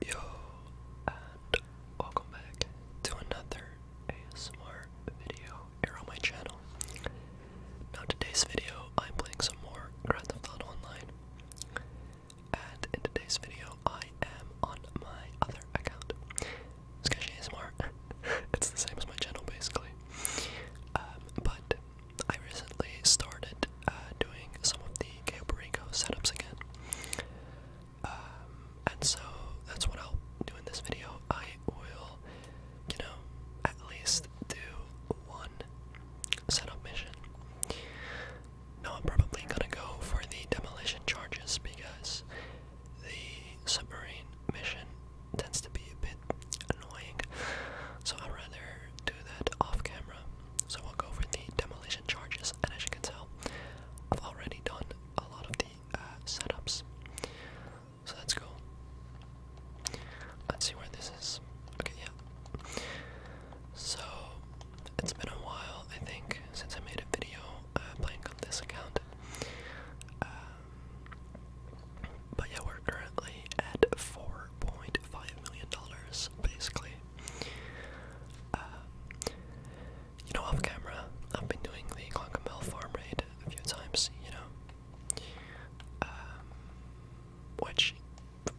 Yo, and welcome back to another ASMR video here on my channel. Now, today's video, I'm playing some more Grand Theft Auto Online, and in today's video, I am on my other account, Sketch ASMR. it's the same as my channel, basically. Um, but I recently started uh, doing some of the Gabrico setups again. Um, and so that's what I'll do in this video. I will, you know, at least do one setup mission. Now I'm probably gonna go for the demolition charges because the submarine mission tends to be a bit annoying. So I'd rather do that off camera. So we'll go for the demolition charges and as you can tell, I've already done a lot of the uh, setups. So that's cool. Let's see where this is. Okay, yeah. So it's been a while, I think, since I made a video uh, playing on this account. Um, but yeah, we're currently at $4.5 million, basically. Uh, you know, off camera, I've been doing the Clonkenbell farm raid a few times, you know. Um, which,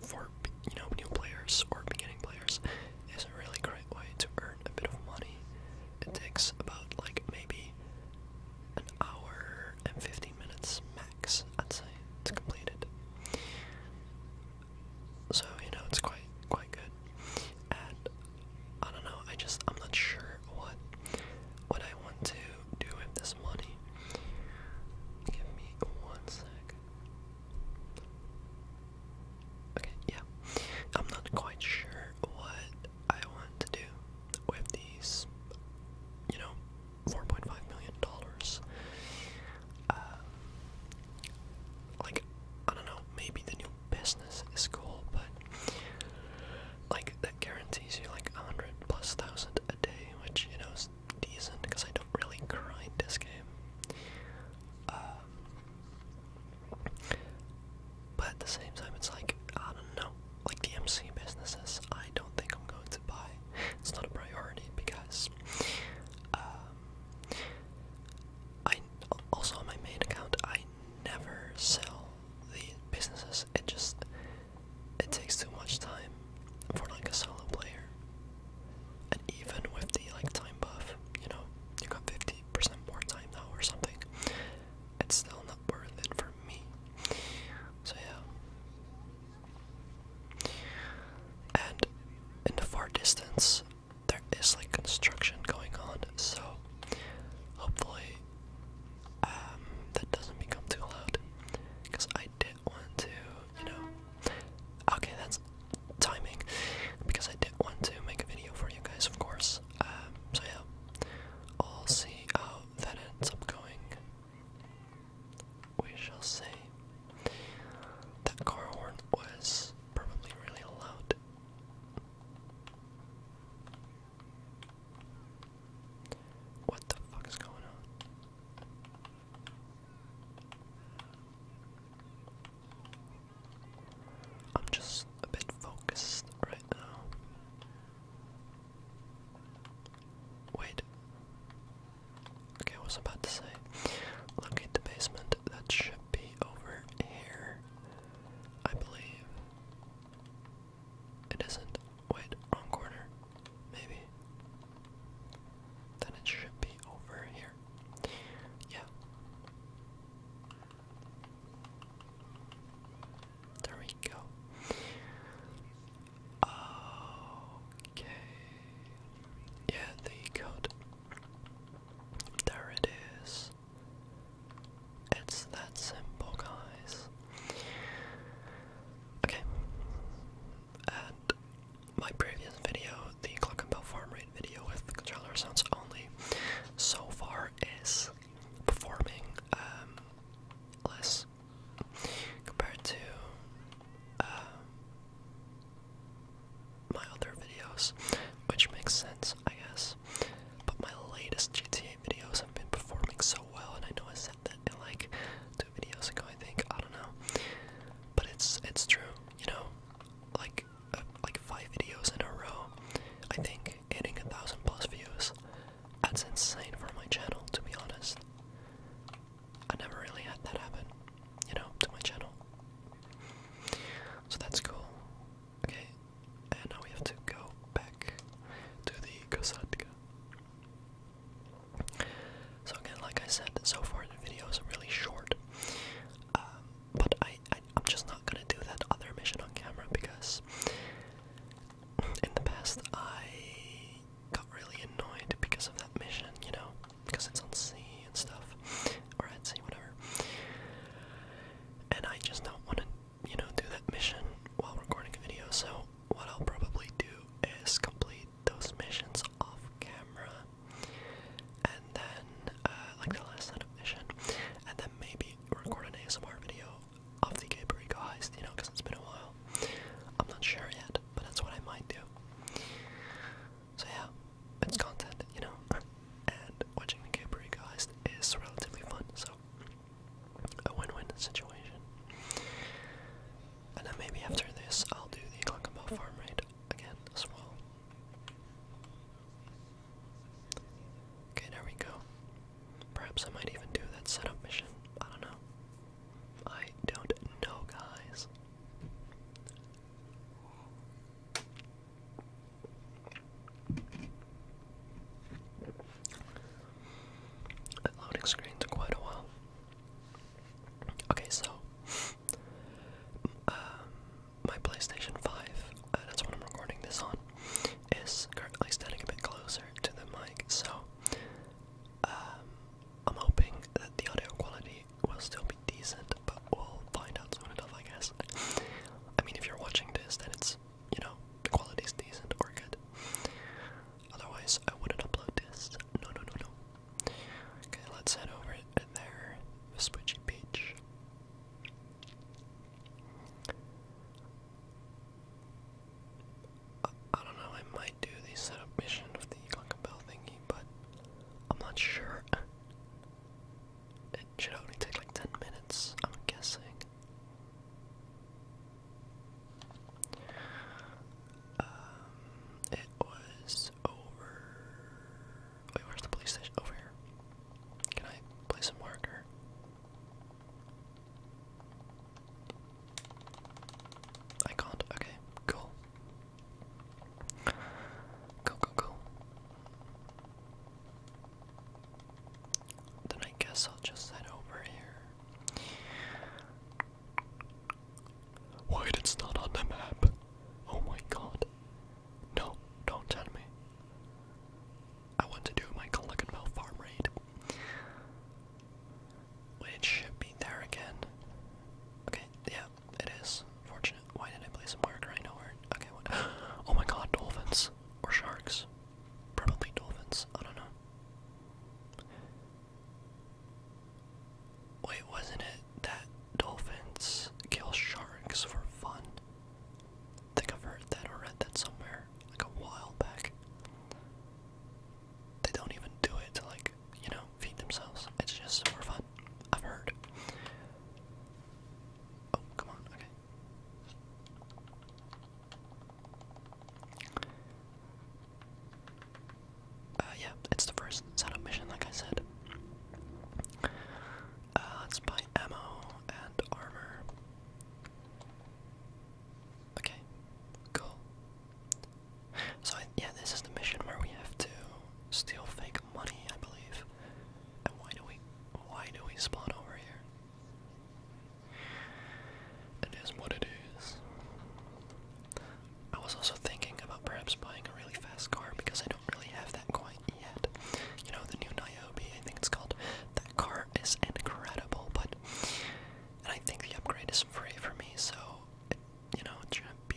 for, you know, new players or beginning players, is a really great way to earn a bit of money. It takes about, like, maybe an hour and 15 minutes max, I'd say, to complete it. So you know it's quite quite good, and I don't know. I just I'm not sure what what I want to do with this money. Give me one sec. Okay, yeah, I'm not quite sure what I want to do with these. You know, four point five million dollars. Uh, like, I don't know, maybe the new business is cool, but like that guarantees you like a hundred plus thousand a day, which you know is decent because I don't really grind this game. Um, but at the same time, it's like I don't know, like the MC businesses. I don't think I'm going to buy it's not a priority because um, I also on my main account I never sell the businesses. It just it takes too much time for like a solo player, and even with the like time buff, you know, you got fifty percent more time now or something. It's still not worth it for me. So yeah. And in the far distance, there is like construction going on, so hopefully um, that doesn't become too loud. Because I did want to, you know. Okay, that's timing. Because I did want to make a video for you guys, of course. Um, so yeah, I'll see how that ends up going we shall see. That car horn was probably really loud. What the fuck is going on? I'm just a bit focused right now. Wait. Okay, I was about to say, locate the basement. That should be over here, I believe. It isn't. Wait, wrong corner. Maybe. Then it should be over here. Yeah. There we go. Okay. Yeah, the code. There it is. It's that simple, guys. Okay. And my previous video, the clock and bell farm rate video with controller sounds only, so far is performing um, less compared to uh, my other videos, which makes sense, I guess. But my latest GTA videos have been performing so well, and I know I said that in like two videos ago, I think. I don't know, but it's it's true, you know, like uh, like five videos in a row. I think getting a thousand plus views. That's insane for my channel, to be honest. I never really had that happen, you know, to my channel. So that's cool. Okay, and now we have to go back to the Kosatka. So again, like I said, so far the videos are really short. Um, but I, I'm just not gonna do that other mission on camera because in the past I got really annoyed because of that mission, you know, because it's on sea and stuff, or at sea, whatever. And I just don't want to, you know, do that mission while recording a video. So what I'll probably do is complete those missions off camera, and then uh, like the last setup mission, and then maybe record an ASMR video of the Gabriel Heist, you know, because it's been a while. I'm not sure yet, but that's what I might do. So yeah, it's content, you know, and watching the Cape Guys is relatively fun, so a win-win situation. And then maybe after this, I'll do the Glockenbach farm raid again as well. Okay, there we go. Perhaps I might even do that setup mission. I don't know. I don't know, guys. loading screen took quite a while. Okay, so um, my PlayStation 5, uh, that's what I'm recording this on, is currently standing a bit closer to the mic, so um, I'm hoping that the audio quality will still be decent, but we'll find out soon enough, I guess. I mean, if you're watching this, then it's, you know, the quality's decent or good. Otherwise, I wouldn't upload this. No, no, no, no. Okay, let's head over there. Switchy Beach. I, don't know, I might do the setup mission of the Clock thingy, but I'm not sure. It should only take like 10 minutes, I'm guessing. Um, it was over. Wait, where's the police station? Over here. Can I place a marker? I can't. Okay, cool. Cool, cool, Then I guess I'll just head over here. Wait, it's not on the map. Oh my god. No, don't tell me. I want to do my Calicanmel farm raid. It should be there again. Okay, yeah, it is. Fortunate. Why did I play some marker? I know where. Okay, what? Oh my god, dolphins. Or sharks. Probably dolphins. I don't know. Wait, wasn't it that dolphins kill sharks for fun? think I've heard that or read that somewhere like a while back. They don't even do it to like, you know, feed themselves. It's just for fun. I've heard. Oh, come on, okay. Uh, yeah, it's the first setup mission, like I said. Uh, let buy ammo and armor. Okay, cool. So, yeah, this is the mission where we have to steal fake money, I believe. And why do we, why do we spawn over here? It is what it is. I was also thinking about perhaps buying a really fast car because I don't really have that quite yet. You know, the new Niobe, I think it's called. That car is incredible, but I think the upgrade is free for me, so you know it shouldn't be.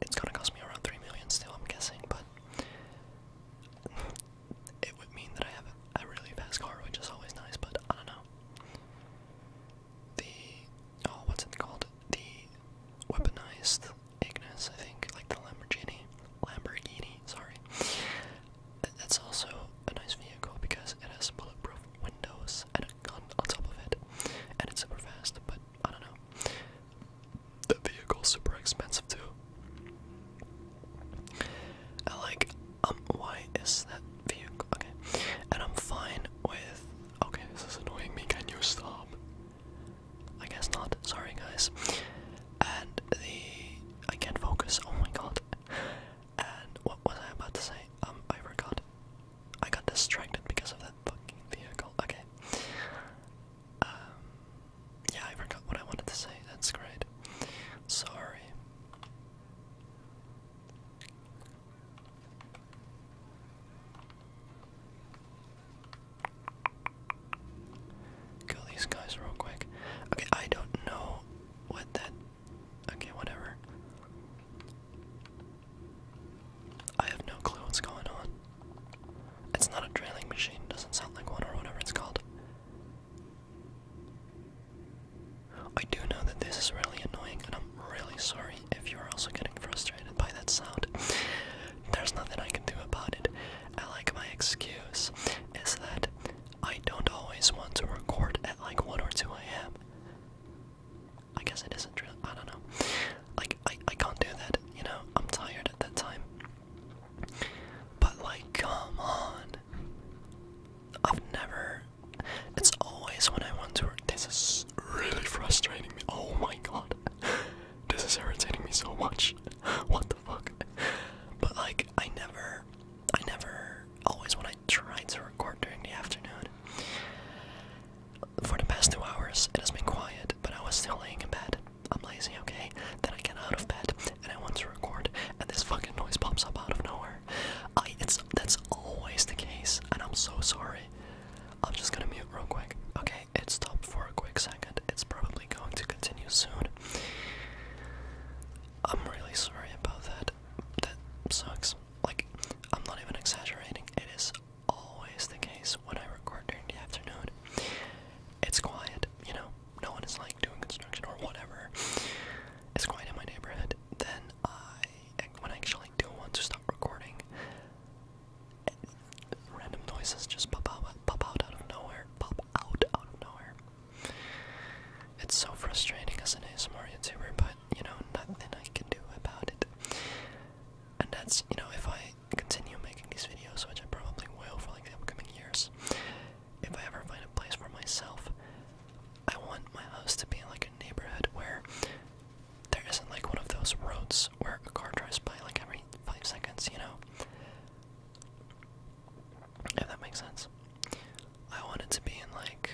it's gonna cost me around three million still, I'm guessing, but it would mean that I have a, a really fast car, which is always nice. But I don't know. The oh, what's it called? The weaponized Ignis, I think, like the Lamborghini. Lamborghini, sorry. It's also a nice vehicle because it has bulletproof windows and a gun on top of it, and it's super fast. But I don't know. The vehicle's super expensive too. I like. Um. Why is that vehicle okay? And I'm fine with. Okay, this is annoying me. Can you stop? I guess not. Sorry, guys. And the I can't focus. Oh my god and what was I about to say? Um, I forgot. I got distracted because of that fucking vehicle. Okay. Um, yeah, I forgot what I wanted to say. That's great. Sorry. Kill these guys real quick. Okay, I don't know what that. Okay, whatever. I have no clue what's going on. It's not a drilling machine, doesn't sound like one or whatever it's called. I do know that this is really annoying, and I'm really sorry if you're also getting frustrated by that sound. There's nothing I can do about it. I like my excuse is that I don't always want to record at like 1 or 2 a.m. I guess it isn't true. I don't know. Like, I, I can't do that, you know? I'm tired at that time. But, like, come on. I've never. It's always when I want to. This is really frustrating me. Oh my god. This is irritating me so much. what the fuck? But like, I never, I never, always when I tried to record during the afternoon, for the past two hours, it has been quiet, but I was still laying in bed. I'm lazy, okay? Then I get out of bed and I want to record, and this fucking noise pops up out of nowhere. I, it's, that's always the case, and I'm so sorry. I'm just gonna mute real quick. Okay, it stopped for a quick second. It's probably going to continue soon. I'm really sorry about that. That sucks. Like, I'm not even exaggerating. It is always the case when I record during the afternoon. It's quiet, you know, no one is like doing construction or whatever. It's quiet in my neighborhood. Then I, when I actually do want to stop recording, random noises just pop out, pop out out of nowhere, pop out of nowhere. It's so frustrating as an ASMR YouTuber, but you know, nothing I can do about it. And that's, you know, if I continue making these videos, which I probably will for like the upcoming years, if I ever find a place for myself, I want my house to be in like a neighborhood where there isn't like one of those roads where a car drives by like every five seconds, you know? If that makes sense. I want it to be in like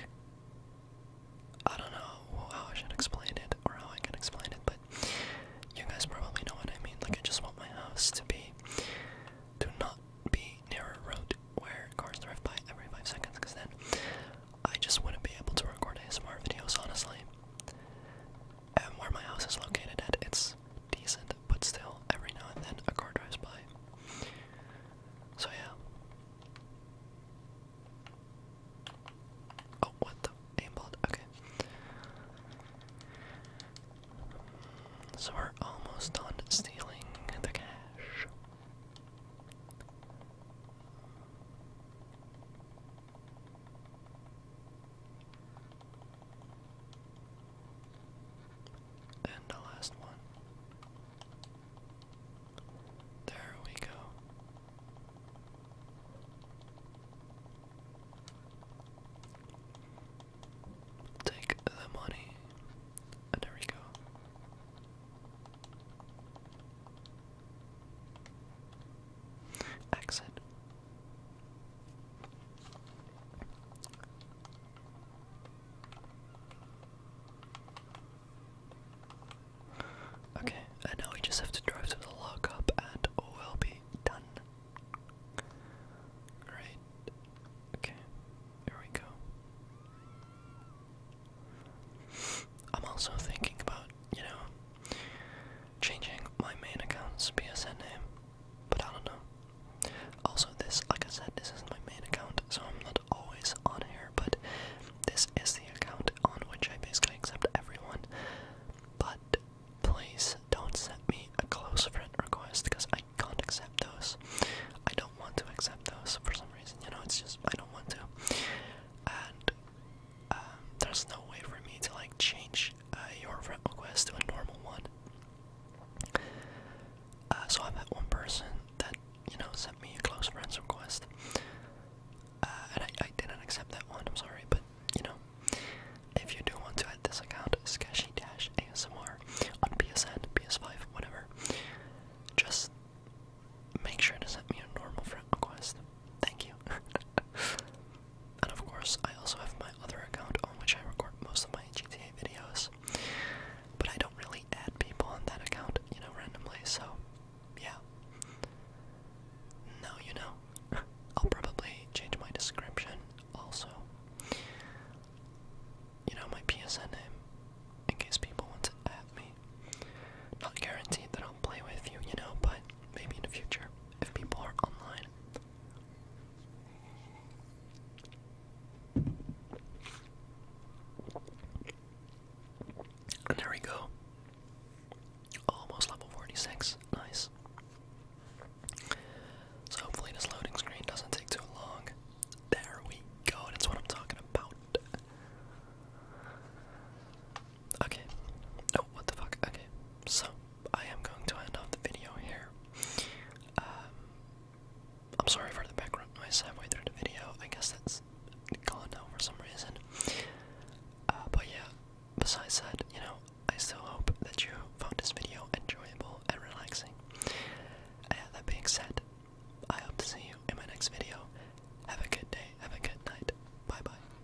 I don't know how I should explain it or how I can explain it, but you guys probably know what I mean. Like I just want my house to be to not be near a road where cars drive by every five seconds, because then I just wouldn't be able to record ASMR videos honestly. And where my house is located at, it's decent, but still, every now and then a car drives by. So, yeah. Oh, what the? Aimbot, okay. So, we're almost done stealing the cash. And the last one. There we go. Take the money. And there we go. Exit. Okay, and now we just have to drive to the lockup and we'll be done. Great. Okay, here we go. I'm also thinking about, you know, changing my main account's PSN name, but I don't know. Also, this, like I said, this is my main account, so I'm not always on here, but this is the account on which I basically accept everyone. But please don't send me a close friend request because I can't accept those. I don't want to accept those for some reason, you know, it's just I don't want to. And um, there's no way for me to like change uh, your friend request to a normal one. Uh, so I met one person that you know sent me a close friends request, uh, and I, didn't accept that one. I'm sorry, but you know, if you do want to add this account, sketchy-asmr on PSN, PS5, whatever, just make sure to send me a normal friend request. Thank you. And of course, I also have my other account on which I record most of my GTA videos. But I don't really add people on that account, you know, randomly, so yeah. No, you know. I'll probably change my description also. You know, my PSN name, in case people want to add me. Not guaranteed that I'll play with you, you know, but maybe in the future, if people are online and there we go. Almost level 46. Nice. So hopefully this loading screen doesn't take too long. There we go. That's what I'm talking about. Okay. No, oh, what the fuck? Okay. So, I am going to end off the video here. Um, I'm sorry for the background noise halfway through the video. I guess that's gone now for some reason. Uh, but yeah, besides that, you know, I still hope that you found this video enjoyable and relaxing. And that being said, I hope to see you in my next video. Have a good day, have a good night. Bye bye.